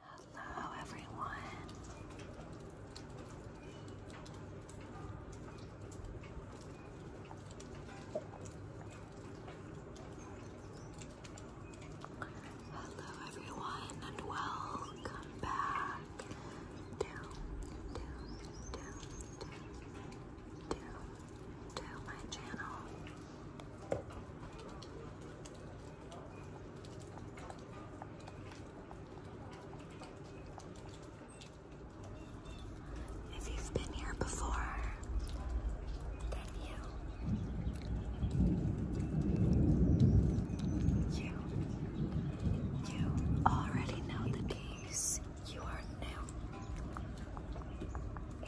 Hello, everyone. Hello, everyone, and welcome back. Down, down, down, down, to my channel. If you been here before, then you. You. You already know the case. You are new.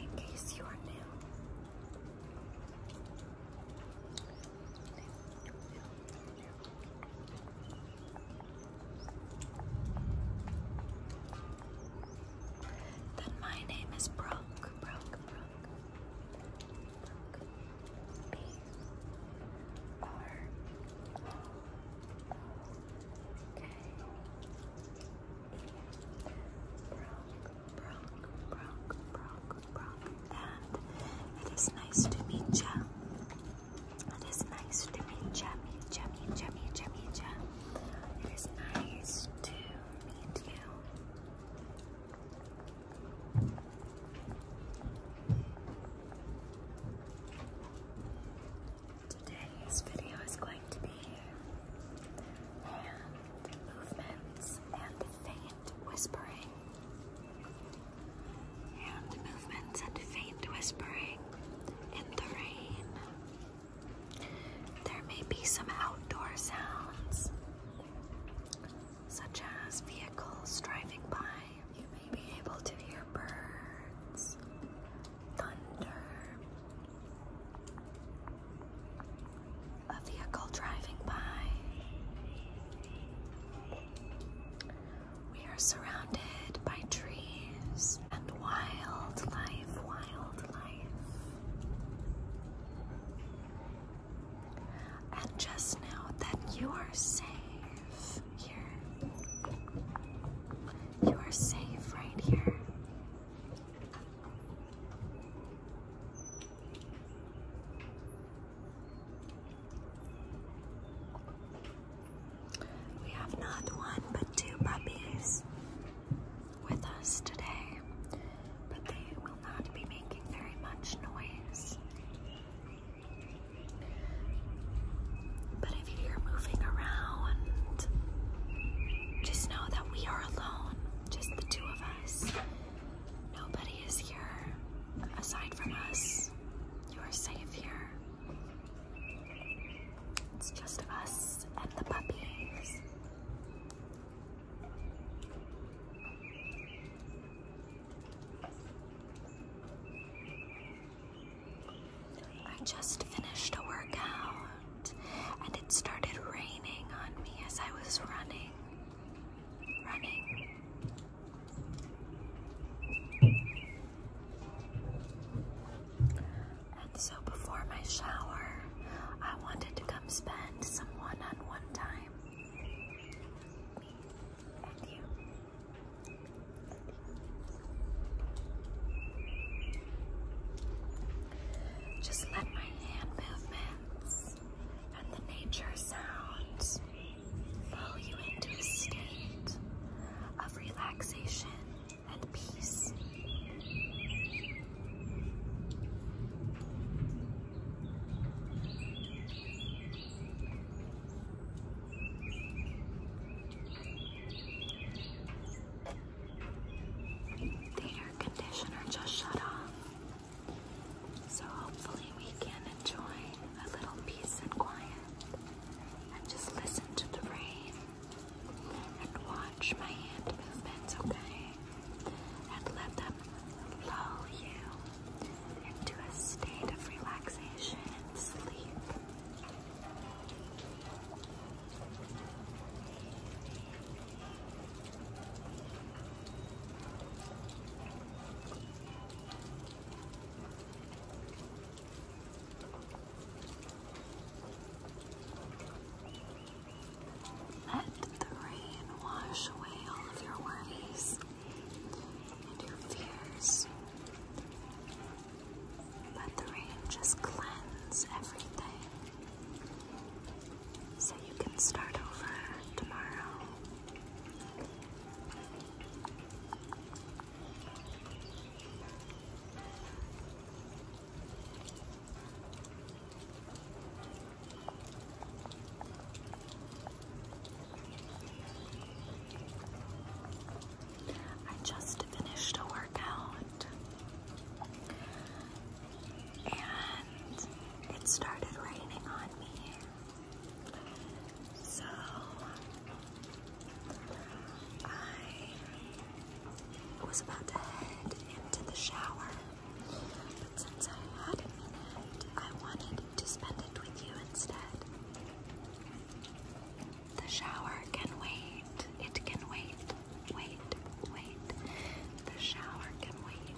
In case you are new. Then my name is Brooke, Brooke, Brooke, Brooke, B R O K E, Brooke, it is nice to meet ya. It is nice to meet ya, meet ya, meet ya, It is nice to meet you. Today's video is going to be hand movements and faint whispering. and movements and faint whispering in the rain. There may be some outdoor sounds, such as vehicles driving by. You may be able to hear birds, thunder, a vehicle driving by. We are surrounded by trees and wildlife, wildlife. And just know that you are safe here. You are safe right here. We have not one but two puppies with us today, but they will not be making very much noise. But if you hear moving around, just know that we are alone, just the two of us. Nobody is here aside from us. You are safe here. It's just us and the puppies. I just finished a workout and it started raining on me as I was running so before my shower, I wanted to come spend some one-on-one time. Me you. Just let my hand movements and the nature sounds lull you into a state of relaxation and peace. The conditioner just shut off. So hopefully we can enjoy a little peace and quiet and just listen to the rain and watch my hand movements, okay? And let them lull you into a state of relaxation and sleep. Let the rain wash away all of your worries and your fears. Let the rain just cleanse everything so you can start over tomorrow I just finished a workout and it started raining on me. So I was about to head into the shower, but since I had a minute, I wanted to spend it with you instead. The shower can wait. It can wait. Wait, wait. The shower can wait.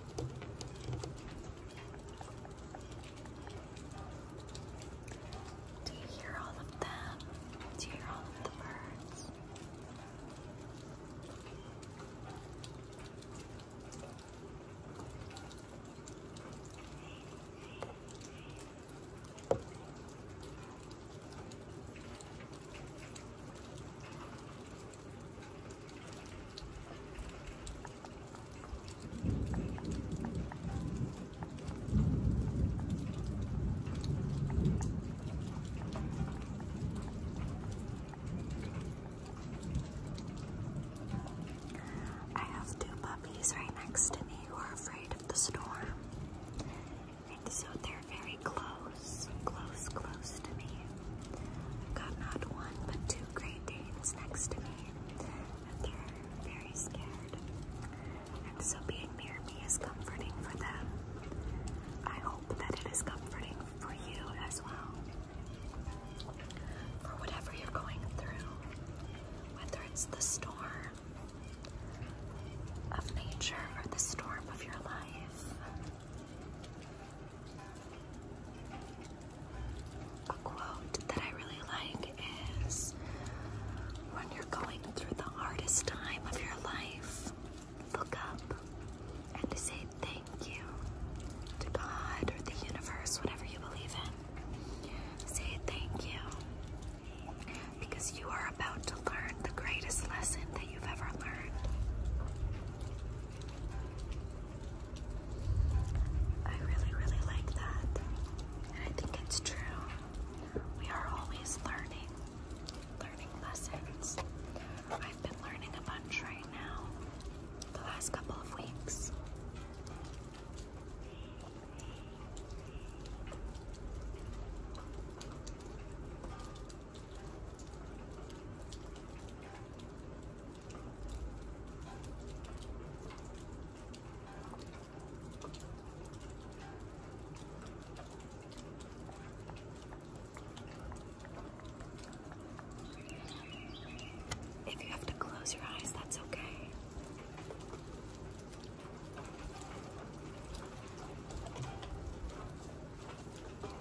Do you hear all of them? Do you hear all the birds? I have two puppies right next to me who are afraid of the storm. And so they're very close, close, close to me. I've got not one but two Great next to me, and they're very scared. And so being near me is comforting for them. I hope that it is comforting for you as well. For whatever you're going through, whether it's the storm of nature or the storm of your life, a quote that I really like is when you're going through the hardest time of your life, look up and say thank you to God or the universe, whatever you believe in. Say thank you because you are about to learn the greatest lesson that you've ever learned. I really, really like that. And I think it's true. We are always learning, learning lessons. I've been learning a bunch right now, the last couple of weeks. If you have to close your eyes, that's okay.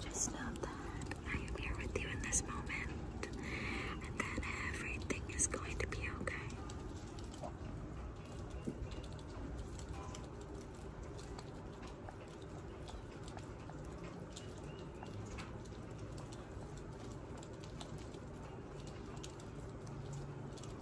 Just know that I am here with you in this moment and that everything is going to be okay.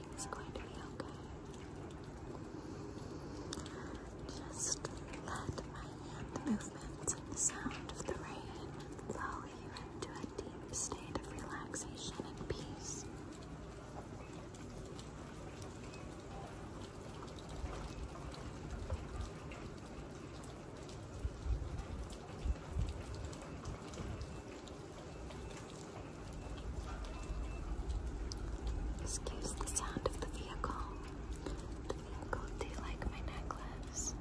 Everything's going to be okay. Just let my the movements and the sound of the rain lull you into a deep state of relaxation and peace. Excuse the sound of the vehicle. The vehicle, do you like my necklace?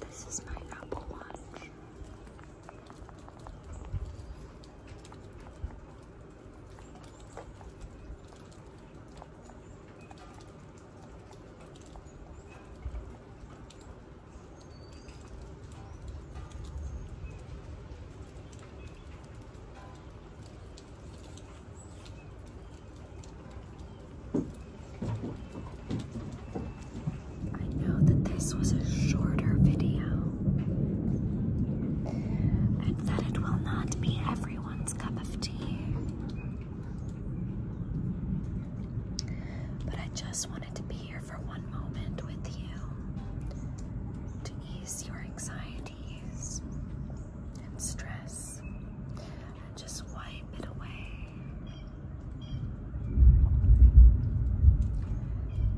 This is my Apple Watch. I know that this was a shorter video and that it will not be everyone's cup of tea. But I just wanted to be here for one moment with you to ease your anxiety and stress and just wipe it away.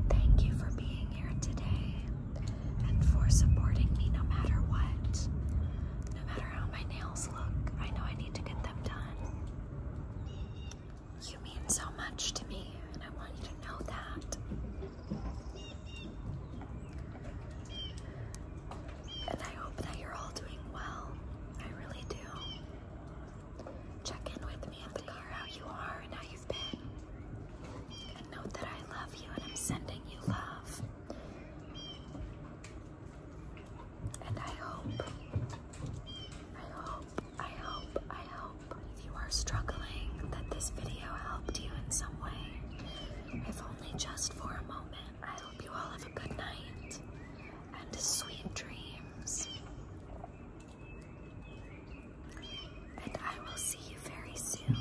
Thank you for being here today and for supporting me no matter what. No matter how my nails look, I know I need to get them done. You mean so much to me, and I want you to know that. And I hope that you're all doing well. I really do. Check in with me at the car how you are and how you've been. And note that I love you and I'm sending you love. And I hope, I hope, I hope, I hope if you are struggling that this video helped you in some way if only just for a moment. I hope you all have a good night and sweet dreams. And I will see you very soon.